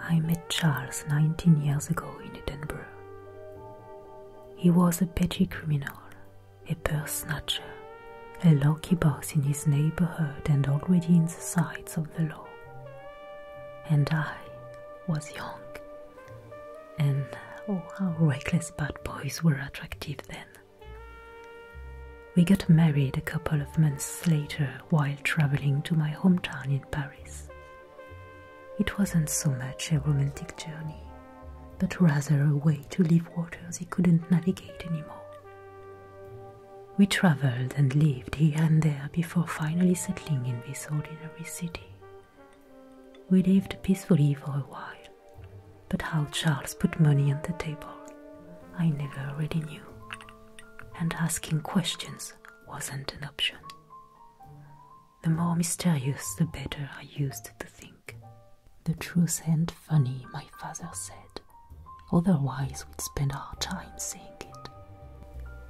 I met Charles 19 years ago in Edinburgh. He was a petty criminal, a purse snatcher, a lucky boss in his neighborhood and already in the sights of the law. And I was young. And oh, how reckless bad boys were attractive then. We got married a couple of months later while traveling to my hometown in Paris. It wasn't so much a romantic journey, but rather a way to leave waters he couldn't navigate anymore. We traveled and lived here and there before finally settling in this ordinary city. We lived peacefully for a while, but how Charles put money on the table, I never really knew and asking questions wasn't an option. The more mysterious, the better I used to think. The truth ain't funny, my father said. Otherwise, we'd spend our time saying it.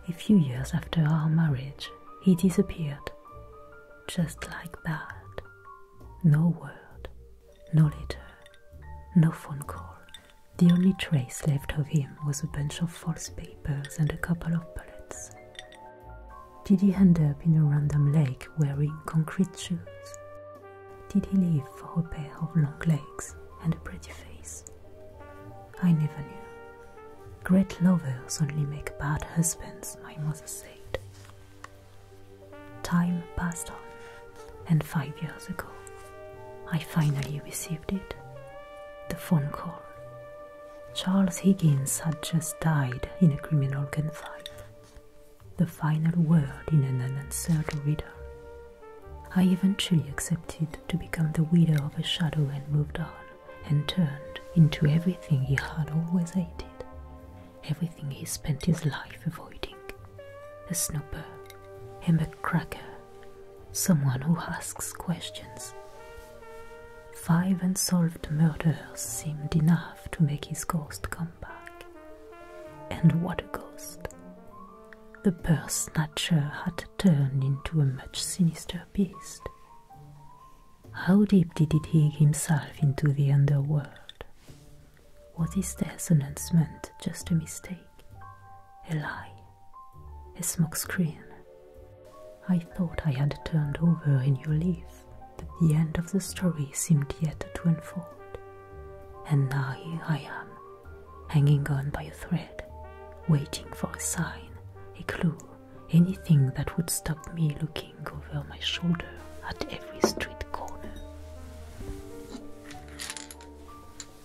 A few years after our marriage, he disappeared. Just like that. No word, no letter, no phone call, the only trace left of him was a bunch of false papers and a couple of bullets. Did he end up in a random lake wearing concrete shoes? Did he live for a pair of long legs and a pretty face? I never knew. Great lovers only make bad husbands, my mother said. Time passed on and five years ago, I finally received it the phone call. Charles Higgins had just died in a criminal gunfight. The final word in an unanswered riddle. I eventually accepted to become the widow of a shadow and moved on, and turned into everything he had always hated, everything he spent his life avoiding a snooper, a McCracker, someone who asks questions. Five unsolved murders seemed enough to make his ghost come back. And what a ghost! The purse snatcher had turned into a much sinister beast. How deep did he dig himself into the underworld? What is his death announcement just a mistake? a lie, a smokescreen. I thought I had turned over a new leaf, but the end of the story seemed yet to unfold. And now here I am, hanging on by a thread, waiting for a sign, a clue, anything that would stop me looking over my shoulder at every street corner.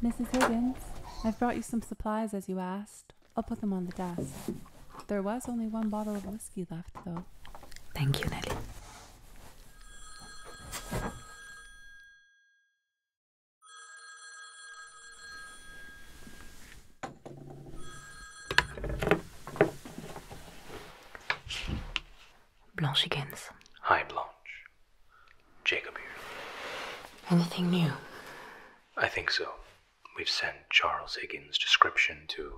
Mrs. Higgins, I've brought you some supplies as you asked. I'll put them on the desk. There was only one bottle of whiskey left, though. Thank you, Nellie. Blanche Higgins. Hi, Blanche. Jacob here. Anything new? I think so. We've sent Charles Higgins' description to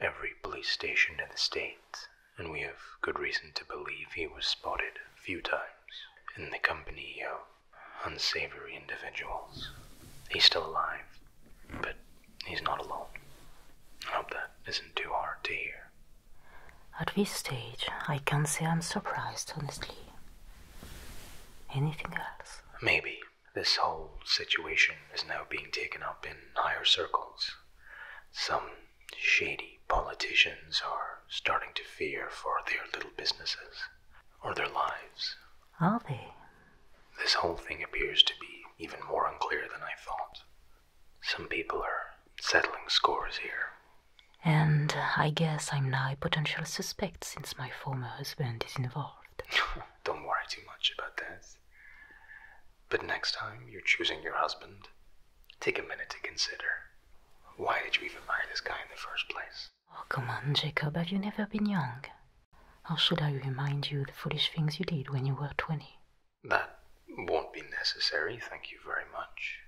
every police station in the state, and we have good reason to believe he was spotted a few times in the company of unsavory individuals. He's still alive, but he's not alone. I hope that isn't too hard to hear. At this stage, I can't say I'm surprised, honestly. Anything else? Maybe. This whole situation is now being taken up in higher circles. Some shady politicians are starting to fear for their little businesses or their lives. Are they? This whole thing appears to be even more unclear than I thought. Some people are settling scores here. And uh, I guess I'm now a potential suspect since my former husband is involved. Don't worry too much about that. But next time you're choosing your husband, take a minute to consider why did you even marry this guy in the first place? Oh, come on, Jacob, have you never been young? How should I remind you the foolish things you did when you were 20? That won't be necessary, thank you very much.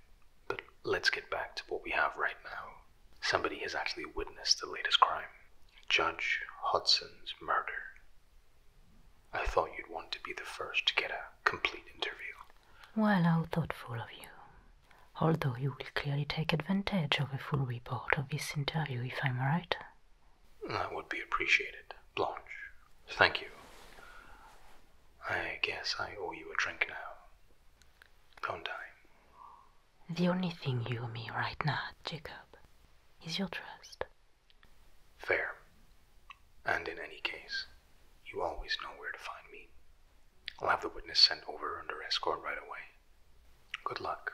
But let's get back to what we have right now. Somebody has actually witnessed the latest crime Judge Hudson's murder. I thought you'd want to be the first to get a complete interview. Well, how thoughtful of you. Although you will clearly take advantage of a full report of this interview, if I'm right. That would be appreciated, Blanche. Thank you. I guess I owe you a drink now. On time. The only thing you owe me right now, Jacob, is your trust. Fair. And in any case, you always know where to find me. I'll have the witness sent over under escort right away. Good luck.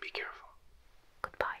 Be careful. Goodbye.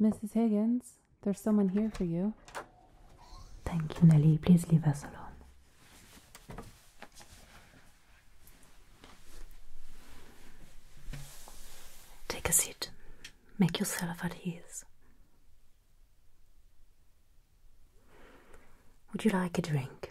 Mrs. Higgins, there's someone here for you. Thank you, Nellie. Please leave us alone. Take a seat. Make yourself at ease. Would you like a drink?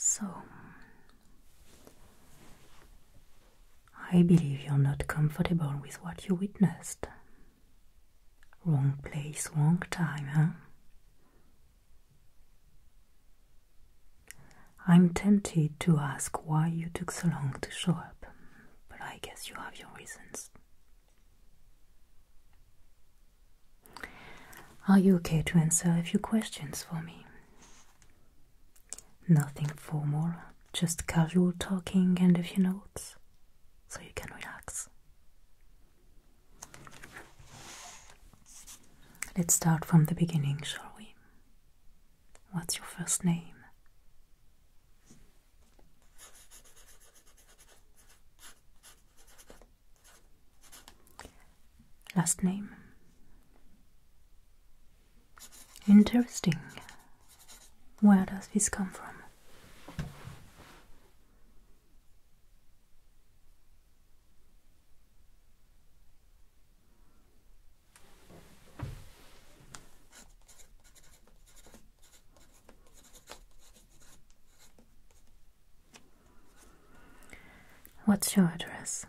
So, I believe you're not comfortable with what you witnessed. Wrong place, wrong time, huh? I'm tempted to ask why you took so long to show up, but I guess you have your reasons. Are you okay to answer a few questions for me? Nothing formal, just casual talking and a few notes, so you can relax. Let's start from the beginning, shall we? What's your first name? Last name? Interesting. Where does this come from? What's your address?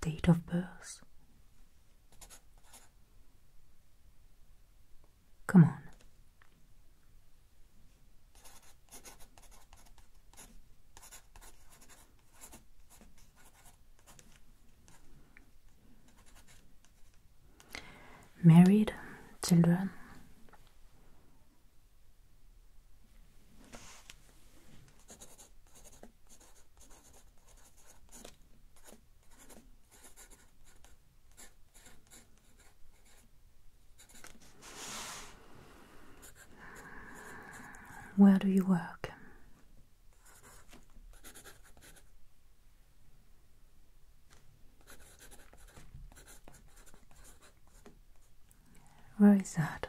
Date of birth. Come on. Married, children. Where do you work? Where is that?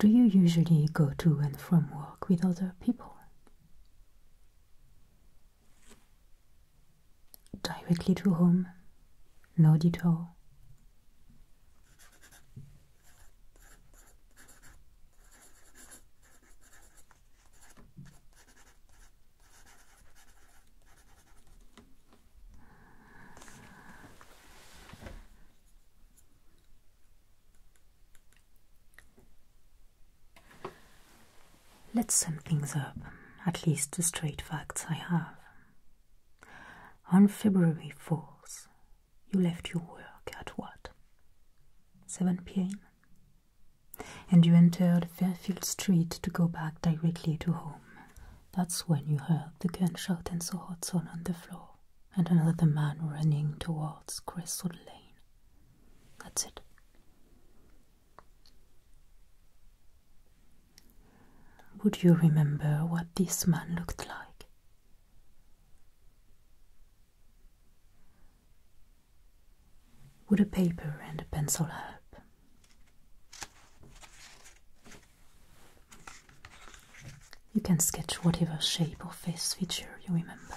Do you usually go to and from work with other people? Directly to home? No detour? Let's sum things up, at least the straight facts I have. On February 4th, you left your work at what? 7 pm. And you entered Fairfield Street to go back directly to home. That's when you heard the gunshot and saw Hudson on the floor and another man running towards Crestwood Lane. That's it. Would you remember what this man looked like? Would a paper and a pencil help? You can sketch whatever shape or face feature you remember.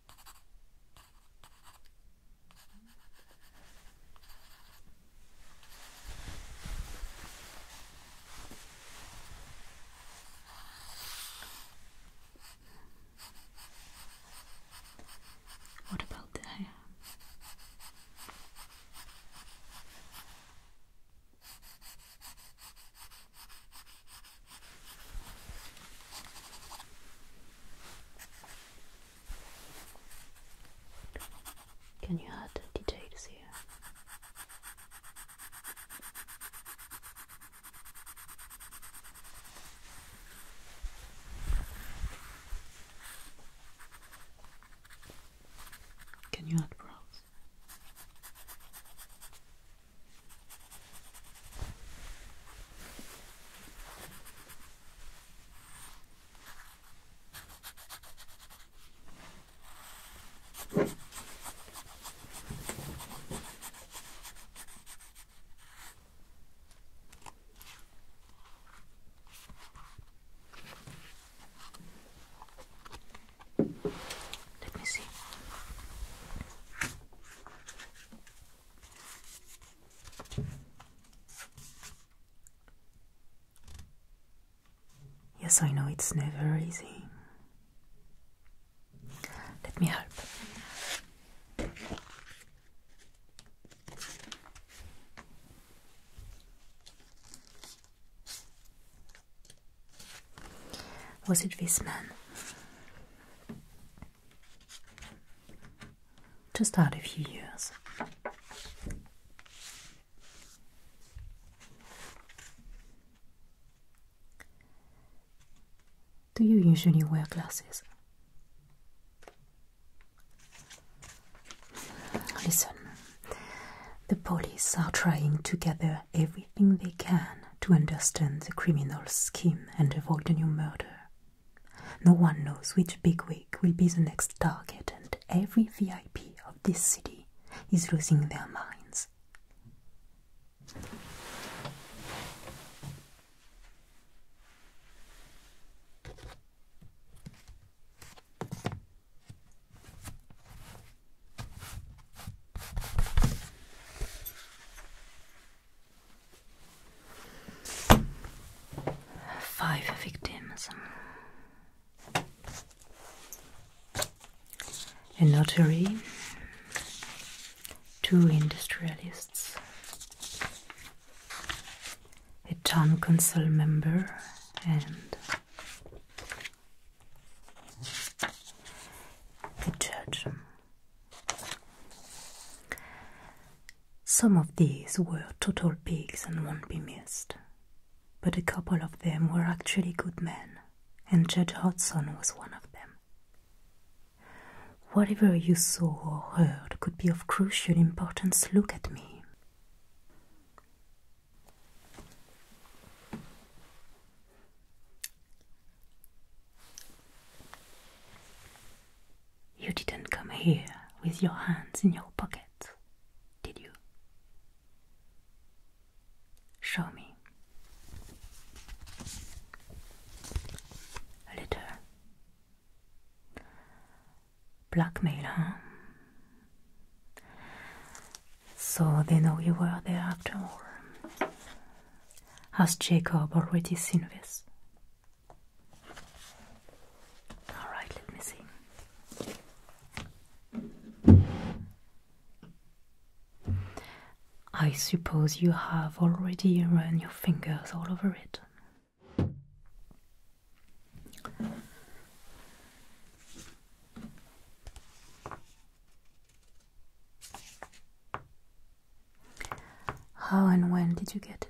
What about the hair? Can you add details here? Can you add brows? Let me see. Yes, I know it's never easy. Let me help. Was it this man? to start a few years. Do you usually wear glasses? Listen, the police are trying to gather everything they can to understand the criminal's scheme and avoid a new murder. No one knows which bigwig will be the next target, and every VIP of this city is losing their minds. Five victims. A notary, two industrialists, a town council member, and a judge. Some of these were total pigs and won't be missed, but a couple of them were actually good men, and Judge Hudson was one of them. Whatever you saw or heard could be of crucial importance. Look at me. You didn't come here with your hands in your pockets, did you? Show me. A letter. Blackmail, huh? So they know you were there after all. Has Jacob already seen this? All right, let me see. I suppose you have already run your fingers all over it. How and when did you get it?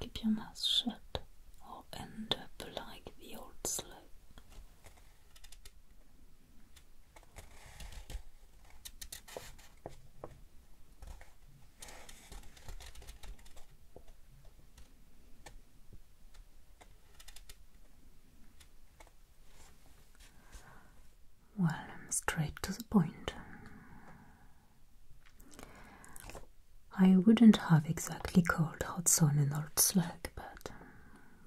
Keep your mouth shut or end up like the old slope. Well, straight to the point. I wouldn't have exactly called hot an old slug, but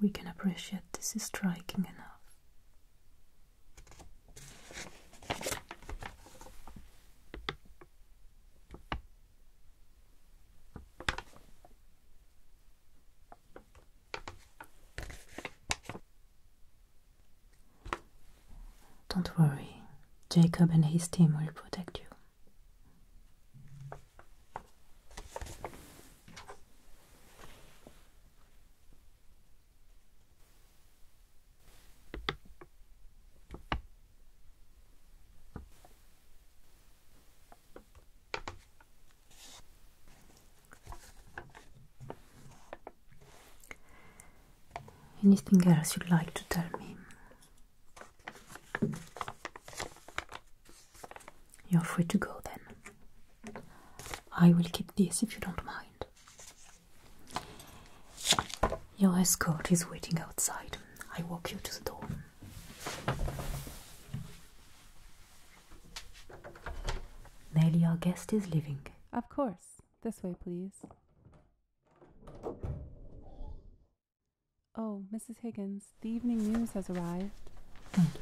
we can appreciate this is striking enough. Don't worry, Jacob and his team will protect you. Anything else you'd like to tell me? You're free to go then. I will keep this if you don't mind. Your escort is waiting outside. I walk you to the door. Nelly, our guest is leaving. Of course. This way, please. Oh, Mrs. Higgins, the evening news has arrived. Thank you.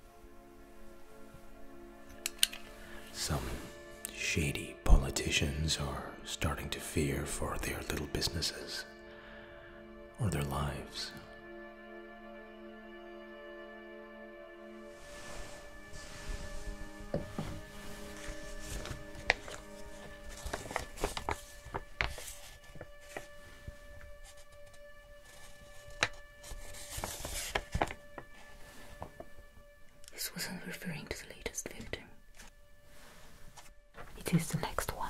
Some shady politicians are starting to fear for their little businesses or their lives. This wasn't referring to the latest victim. It is the next one.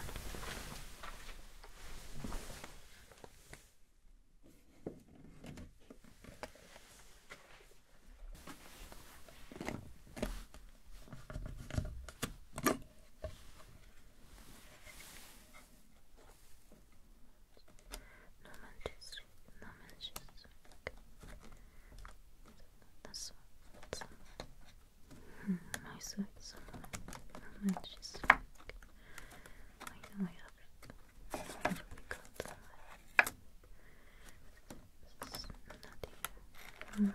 No manches, no manches. That's what my No manches. I know I have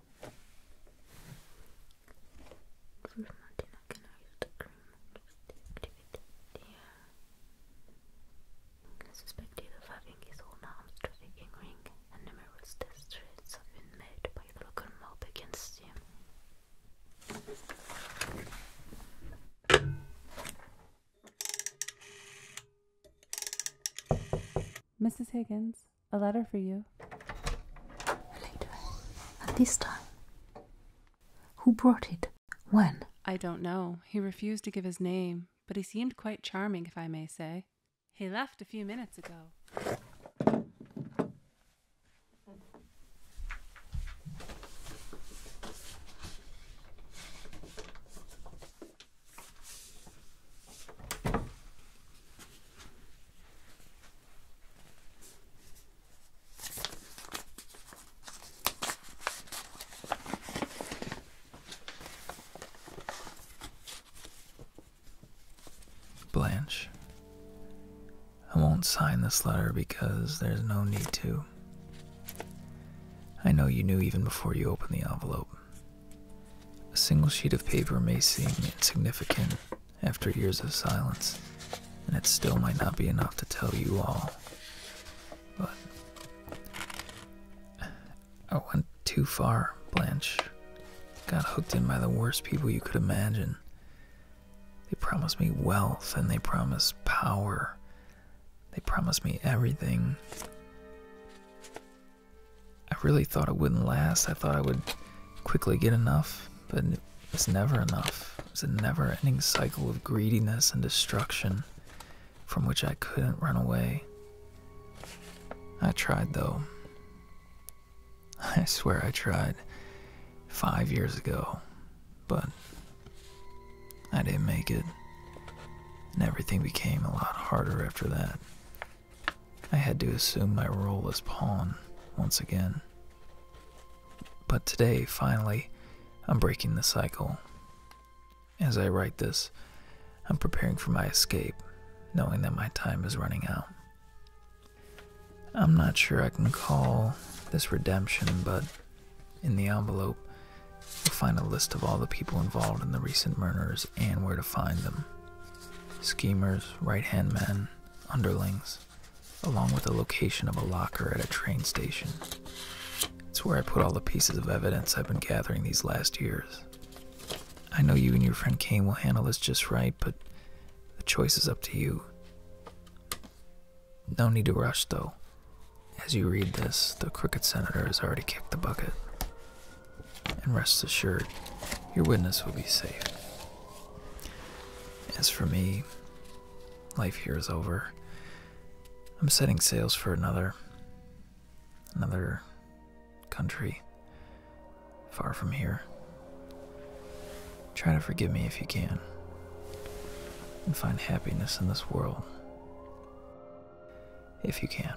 For mountain, I use the cream to activate the having his own arms trafficking ring, and numerous test threats have been made by the local mob against him. Mrs. Higgins, a letter for you. Later. At this time. Who brought it? When? I don't know. He refused to give his name, but he seemed quite charming, if I may say. He left a few minutes ago. Blanche, I won't sign this letter because there's no need to. I know you knew even before you opened the envelope. A single sheet of paper may seem insignificant after years of silence, and it still might not be enough to tell you all. But I went too far, Blanche. Got hooked in by the worst people you could imagine. They promised me wealth and they promised power. They promised me everything. I really thought it wouldn't last. I thought I would quickly get enough, but it's never enough. It's a never ending cycle of greediness and destruction from which I couldn't run away. I tried, though. I swear I tried five years ago, but I didn't make it. And everything became a lot harder after that. I had to assume my role as pawn once again. But today, finally, I'm breaking the cycle. As I write this, I'm preparing for my escape, knowing that my time is running out. I'm not sure I can call this redemption, but in the envelope, you'll find a list of all the people involved in the recent murders and where to find them schemers, right hand men, underlings, along with the location of a locker at a train station. It's where I put all the pieces of evidence I've been gathering these last years. I know you and your friend Kane will handle this just right, but the choice is up to you. No need to rush, though. As you read this, the crooked senator has already kicked the bucket and rest assured your witness will be safe. As for me, life here is over. I'm setting sails for another another country far from here. Try to forgive me if you can and find happiness in this world if you can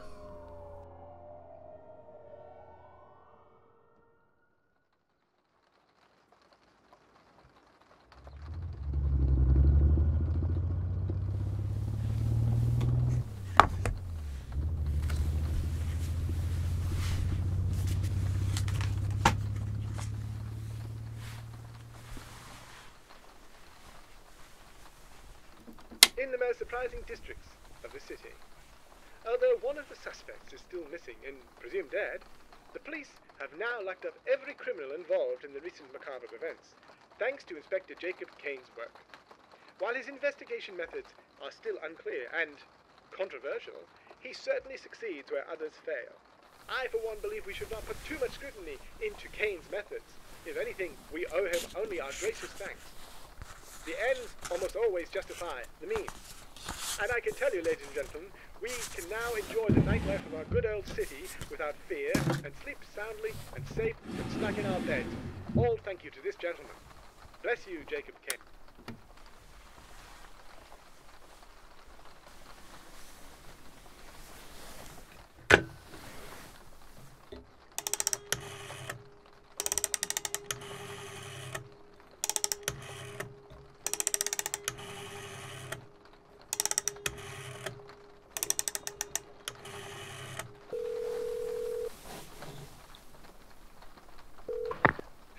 in the most surprising districts of the city. Although one of the suspects is still missing and presumed dead, the police have now locked up every criminal involved in the recent macabre events, thanks to Inspector Jacob Kane's work. While his investigation methods are still unclear and controversial, he certainly succeeds where others fail. I, for one, believe we should not put too much scrutiny into Kane's methods. If anything, we owe him only our gracious thanks. The ends almost always justify the means. And I can tell you, ladies and gentlemen, we can now enjoy the nightlife of our good old city without fear and sleep soundly and safe and snug in our beds. All thank you to this gentleman. Bless you, Jacob Kent.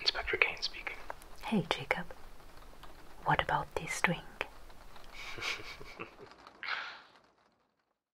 Inspector Kane speaking. Hey, Jacob. What about this drink?